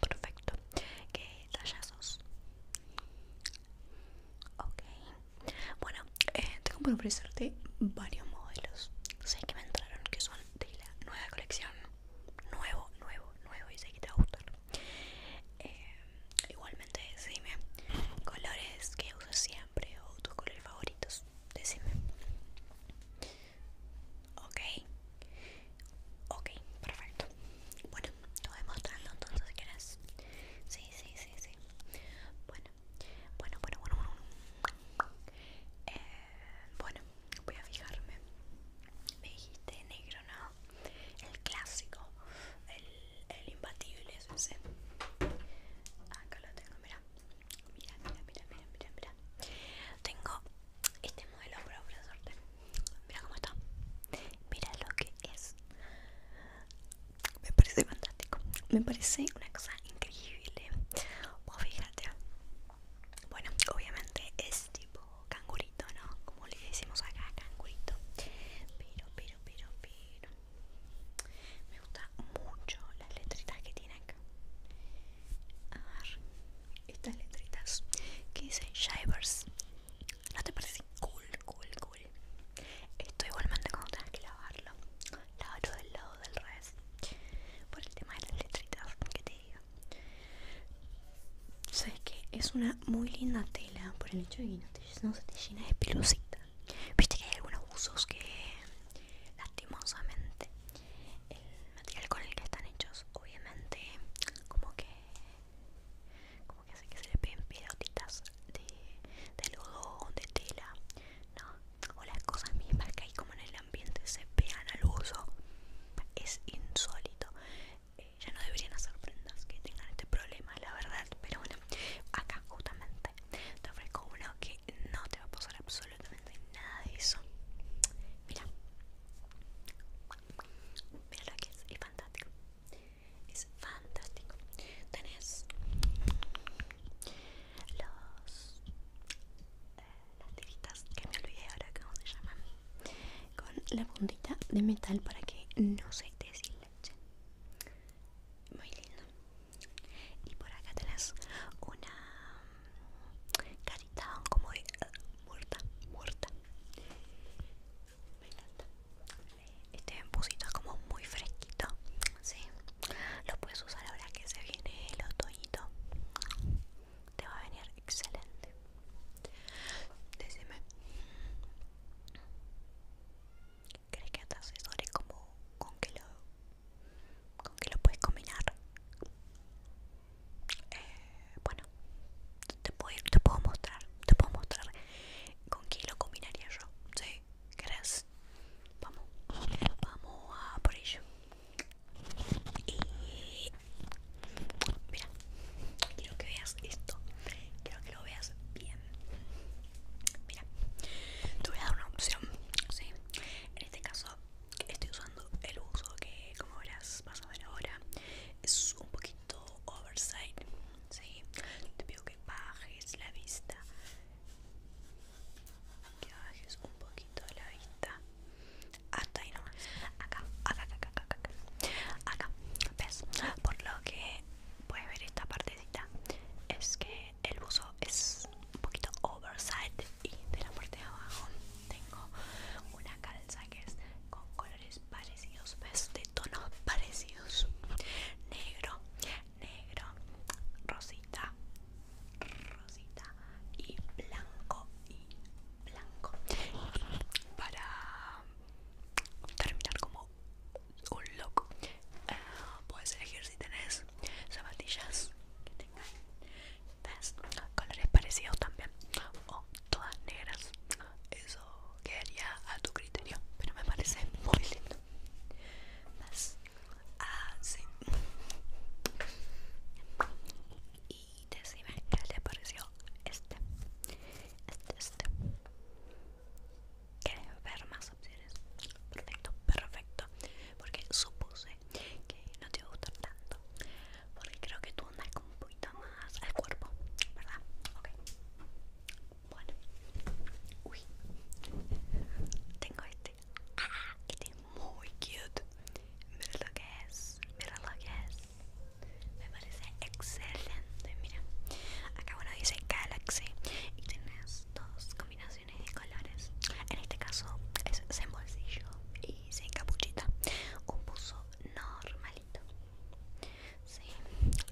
Perfecto. que tallazos? Ok. Bueno, eh, tengo para ofrecerte varios modelos. Sé que me entraron que son de la nueva colección. Nuevo, nuevo, nuevo. Y sé que te va a gustar. Eh, igualmente, decime colores que usas siempre o tus colores favoritos. Decime. Ok, ok, perfecto. Bueno, te voy a mostrando entonces si quieres. Sí, sí, sí, sí. Bueno, bueno, bueno, bueno, bueno. Eh, bueno, voy a fijarme. Me dijiste negro, ¿no? El clásico, el, el imbatible, ese. Acá lo tengo, mira. Mira, mira, mira, mira, mira, mira. Tengo este modelo para suerte. Mira cómo está. Mira lo que es. Me parece fantástico. Me parece una cosa increíble. Vos fíjate. Bueno, obviamente es tipo cangurito, ¿no? Como le decimos acá, cangurito. Pero, pero, pero, pero. Me gusta mucho las letritas que tiene acá a ver, estas letritas que dicen Shivers. ¿No te parece cool, cool, cool? Esto igualmente cuando tengas que lavarlo. Lavarlo del lado del revés. Por el tema de las letritas, que te digo. Sabes que es una muy linda tela por el hecho de que no, se te llena de pilosita. Viste que hay algunos usos que lastimosamente el material con el que están hechos obviamente como que como que hace que se le peguen pelotitas de, de algodón, de tela ¿no? o las cosas mismas que hay como en el ambiente se pegan al uso es insólito eh, ya no deberían hacer prendas que tengan este problema la verdad pero bueno acá justamente te ofrezco uno que no te va a pasar absolutamente nada de eso. Mira, mira lo que es, es fantástico. Es fantástico. Tenés los, eh, las tiritas que me olvidé ahora cómo se llaman, con la puntita de metal para que no se leche. Muy lindo. Y por acá tenés una carita como de eh, muerta, muerta. Me encanta. Este empucito es como muy fresquito, sí. Lo puedes usar ahora que se viene el otoñito. Te va a venir excelente. Decime. ¿Crees que hasta se como con que lo con que lo puedes combinar eh, bueno te puedo, te puedo mostrar te puedo mostrar con qué lo combinaría yo ¿sí? ¿querés? vamos vamos a por ello y mira quiero que veas esto quiero que lo veas bien mira te voy a dar una opción en este caso Estoy usando el uso que, como verás, vas a ver ahora, es un poquito oversight. ¿sí? Te pido que bajes la vista, que bajes un poquito la vista, hasta ahí nomás. Acá, acá, acá, acá, acá, acá. Acá, ¿ves? Por lo que puedes ver esta partecita, es que el uso es un poquito Oversight y de la parte de abajo tengo una calza que es con colores parecidos, ¿ves? de tonos parecidos, negro, negro, rosita, rosita y blanco y blanco. para terminar como un loco eh, puedes elegir si tenés zapatillas que tengan ¿Ves? Colores parecidos también O todas negras Eso quedaría a tu criterio Pero me parece muy lindo ¿Ves? Así Y decime que le pareció este Este, este ¿Quieres ver más opciones? Perfecto, perfecto Porque supuse que no te va a gustar tanto porque creo que tú andas con un poquito más al cuerpo, ¿verdad? Ok, bueno, uy, tengo este, ah, este es muy cute, mira lo que es, mira lo que es, me parece excelente, mira, acá bueno dice Galaxy y tienes dos combinaciones de colores. En este caso es sin bolsillo y sin capuchita. Un buzo normalito. Sí,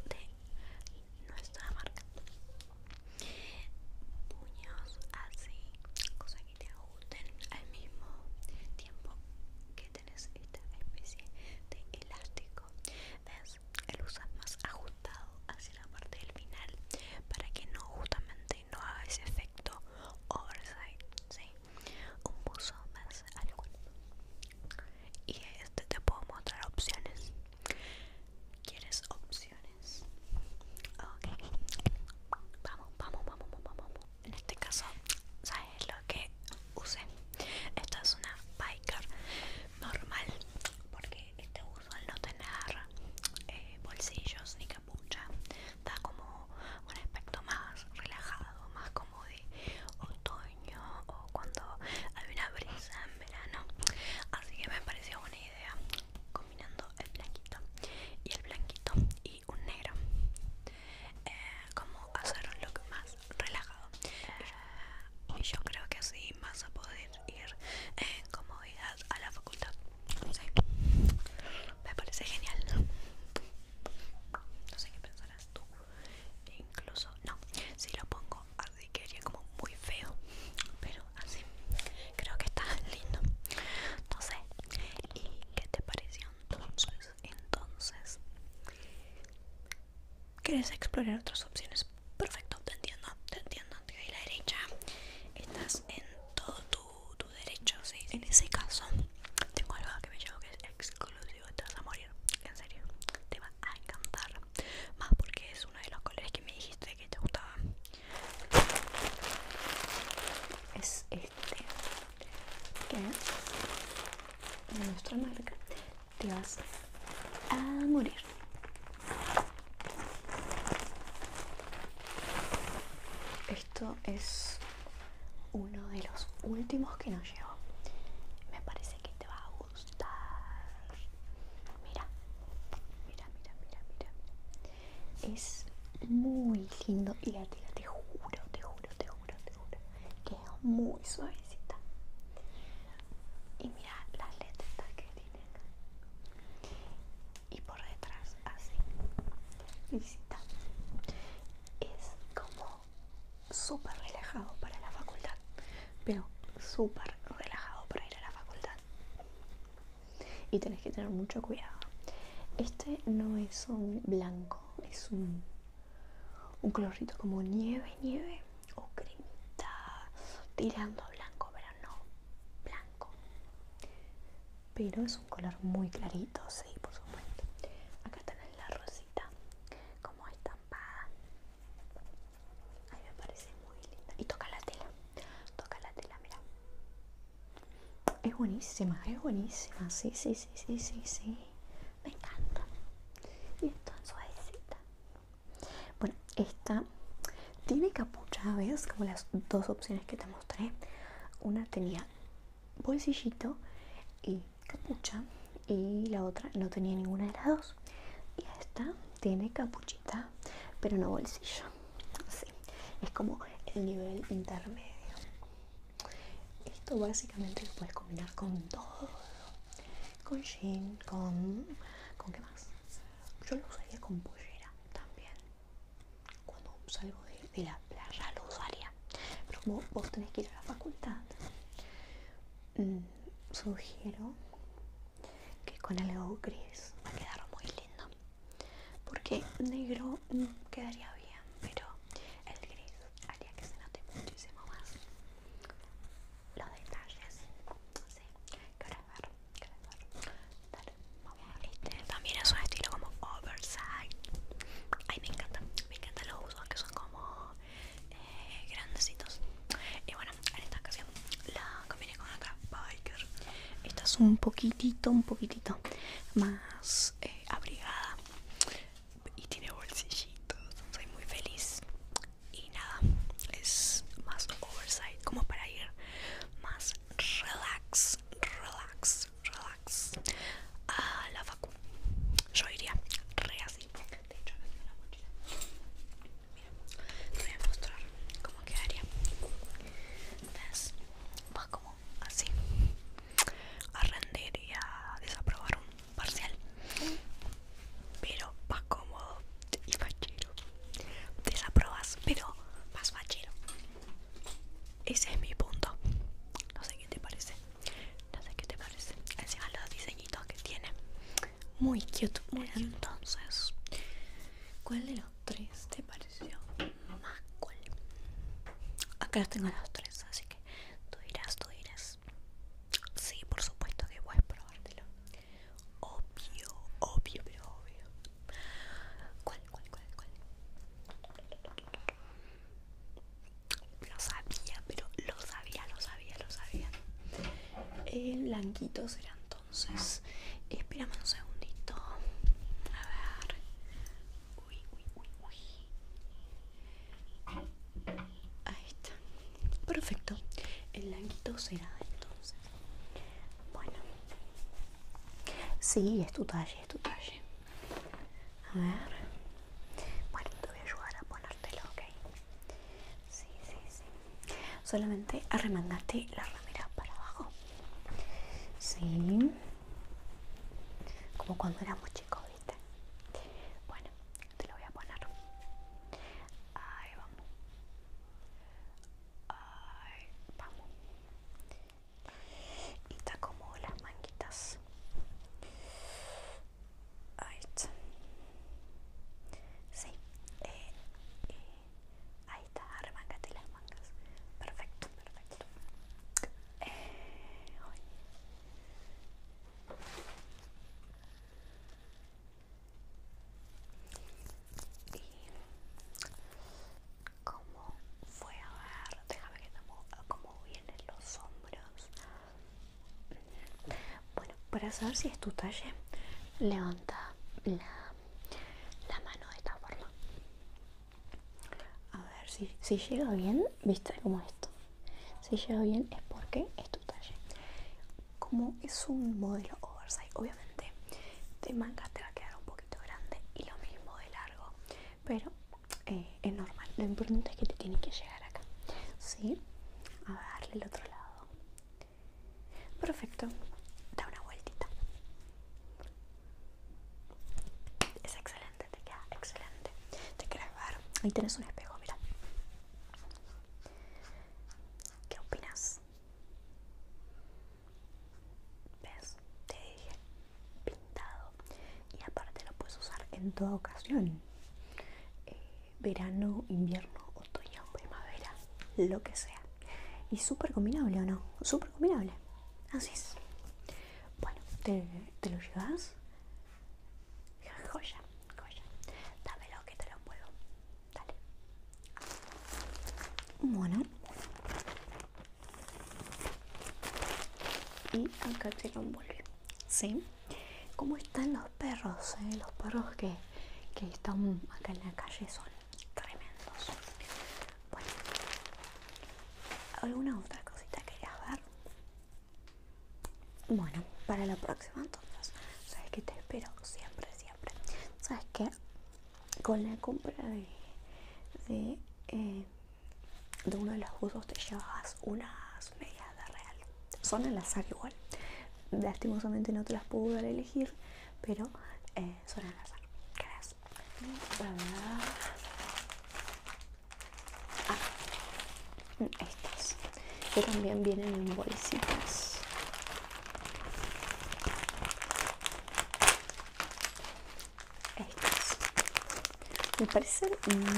de nuestra marca. Puños así, cosas que te ajusten al mismo tiempo que tenés esta especie de elástico. ¿Ves? el usa más ajustado hacia la parte del final para que no justamente no no ese efecto oversight, ¿sí? Un buzo más algo. Y este te puedo mostrar opciones. ¿Quieres opciones? Ok. Vamos, vamos, vamos, vamos, En este caso, ¿sabes lo que usé? Esta es una biker normal porque este al no tener eh, bolsillos ni capucha da como un aspecto más relajado, más como de otoño o cuando hay una brisa en verano. Así que me pareció una idea combinando el blanquito y el blanquito y un negro. Eh, como hacer un look más relajado. Y yo creo que así vas a poder ir en comodidad a la facultad no sé, me parece genial. No sé qué pensarás tú. Incluso, no, si lo pongo así que haría como muy feo, pero así creo que está lindo. No sé, ¿y qué te pareció entonces? Entonces, ¿quieres explorar otras opciones? Perfecto, te entiendo, te entiendo. Te doy la derecha. Estás en todo tu, derecho, sí. En ese caso, tengo algo que me llevo que es exclusivo. Te vas a morir, en serio. Te va a encantar. Más porque es uno de los colores que me dijiste que te gustaba. Es este. Que de nuestra marca. Te vas a morir. Esto es uno de los últimos que nos llegó. Me parece que te va a gustar. Mira, mira, mira, mira, mira. Es muy lindo y la tela, te juro, te juro, te juro, te juro, que es muy suavecita. Y mira las letras que y por detrás así Visita es como súper relajado para la facultad pero súper relajado para ir a la facultad y tenés que tener mucho cuidado este no es un blanco es un un como nieve nieve o cremita tirando blanco pero no blanco pero es un color muy clarito sí por supuesto acá tenés la rosita como estampada Ahí me parece muy linda y toca la tela toca la tela mira es buenísima es buenísima sí sí sí sí sí sí me encanta y es tan suavecita bueno, esta tiene capucha, ¿ves? Como las dos opciones que te mostré. Una tenía bolsillito y capucha y la otra no tenía ninguna de las dos. Y esta tiene capuchita, pero no bolsillo. Así, es como el nivel intermedio. Esto básicamente lo puedes combinar con todo. Con jean, con... ¿Con qué más? Yo lo usaría con pollera también. Cuando salgo de, la playa lo usaría. Pero como vos tenés que ir a la facultad, mm, sugiero que con algo gris va a quedar muy lindo. Porque negro mm, quedaría bien, pero el gris haría que se note muchísimo más los detalles. Este, también es un estilo como oversize Ay, me encanta, me encanta los usos que son como eh, grandecitos. Y bueno, en esta ocasión la combiné con otra biker. Esta es un poquitito, un poquitito más eh, abrigada y tiene bolsillitos. Soy muy feliz y nada es más oversight como para ir más relax relax relax a la facu yo iría re así de hecho me la mochila mira te voy a mostrar cómo quedaría entonces va como así a rendir y a desaprobar un parcial pero más cómodo y fachero. Desaprobas, pero más fachero. Ese es mi punto. No sé qué te parece. No sé qué te parece. Encima los diseñitos que tiene. Muy cute. Muy Entonces, ¿cuál de los tres te pareció más cool? Acá los tengo los tres, así que tú dirás, tú dirás. Sí, por supuesto que puedes probártelo. Obvio, obvio, pero obvio. ¿Cuál, cuál, cuál, cuál? Lo sabía, pero lo sabía, lo sabía, lo sabía. El blanquito será entonces. Espérame un segundito. A ver. Uy, uy, uy, uy. Ahí está. Perfecto. El languito será entonces. Bueno. Sí, es tu talle, es tu talle. A ver. Bueno, te voy a ayudar a ponértelo, ¿ok? Sí, sí, sí. Solamente arremangate la ramera para abajo. Sí. Como cuando éramos chicos, ¿viste? Bueno, te lo voy a poner ahí vamos ahí vamos y te acomodo las manguitas ahí está sí eh, eh, ahí está arremángate las mangas perfecto perfecto eh, y como fue a ver déjame que cómo vienen los hombros bueno para saber si es tu talle levanta la, mano de esta forma a ver si, si llega bien viste como esto si llega bien es porque es tu talle como es un modelo oversize obviamente de manga te va a quedar un poquito grande y lo mismo de largo pero eh, es normal lo importante es que te tiene que llegar acá ¿sí? a darle el otro lado perfecto da una vueltita es excelente te queda excelente te quiero ver ahí tenés un espejo mira ¿Qué opinas? ¿Ves? Te dije pintado. Y aparte lo puedes usar en toda ocasión. Eh, verano, invierno, otoño, primavera, lo que sea. Y súper combinable o no. Súper combinable. Así es. Bueno, te, te lo llevas. Joya, joya. Dámelo que te lo vuelvo, Dale. Bueno. Y acá te lo envuelve. ¿Sí? ¿Cómo están los perros? Eh? Los perros que, que están acá en la calle son tremendos. Bueno. ¿Alguna otra cosita querías ver? Bueno, para la próxima entonces, sabes que te espero siempre, siempre. Sabes que con la compra de, eh, de, uno de los buzos te llevas unas medias de real. Son al azar igual. Lastimosamente no te las pude elegir, pero eh, son al azar. Gracias. Ah, estas que también vienen en bolsitas estas me parecen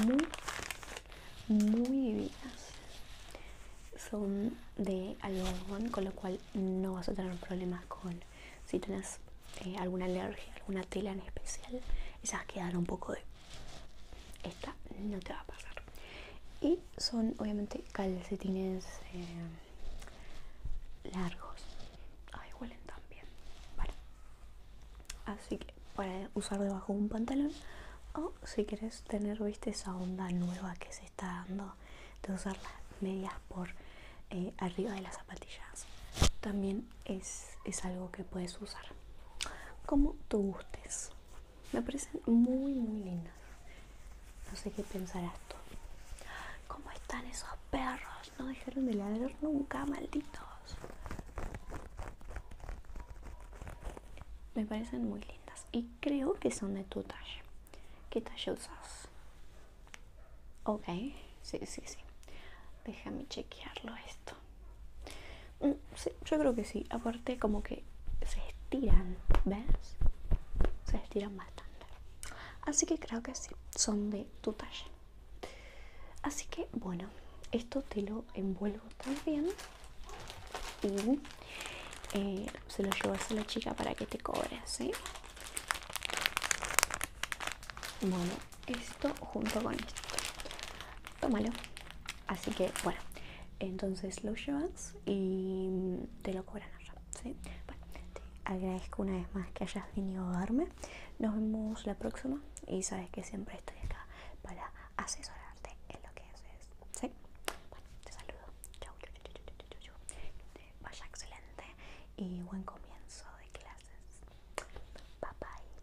muy muy divinas son de algodón con lo cual no vas a tener problemas con si tenés eh, alguna alergia alguna tela en especial esas quedan un poco de esta no te va a pasar y son obviamente calcetines eh, largos ahí huelen también. así que para usar debajo un pantalón o si quieres tener viste esa onda nueva que se está dando de usar las medias por eh, arriba de las zapatillas también es algo que puedes usar como tú gustes me parecen muy, muy lindas. No sé qué pensarás tú. ¿Cómo están esos perros? No dejaron de ladrar nunca, malditos. Me parecen muy lindas. Y creo que son de tu talla. ¿Qué talla usas? Ok, sí, sí, sí. Déjame chequearlo esto. Mm, sí, yo creo que sí. Aparte como que se estiran, ¿ves? Se estiran bastante. Así que creo que sí, son de tu talla. Así que bueno, esto te lo envuelvo también y eh, se lo llevas a la chica para que te cobre, ¿sí? Bueno, esto junto con esto. Tómalo. Así que bueno, entonces lo llevas y te lo cobran allá. ¿sí? Bueno, te agradezco una vez más que hayas venido a verme. Nos vemos la próxima y sabes que siempre estoy acá para asesorarte en lo que haces. ¿sí? Bueno, te saludo. Chao. chau, chau, chau, Que te vaya excelente y buen comienzo de clases. Bye bye.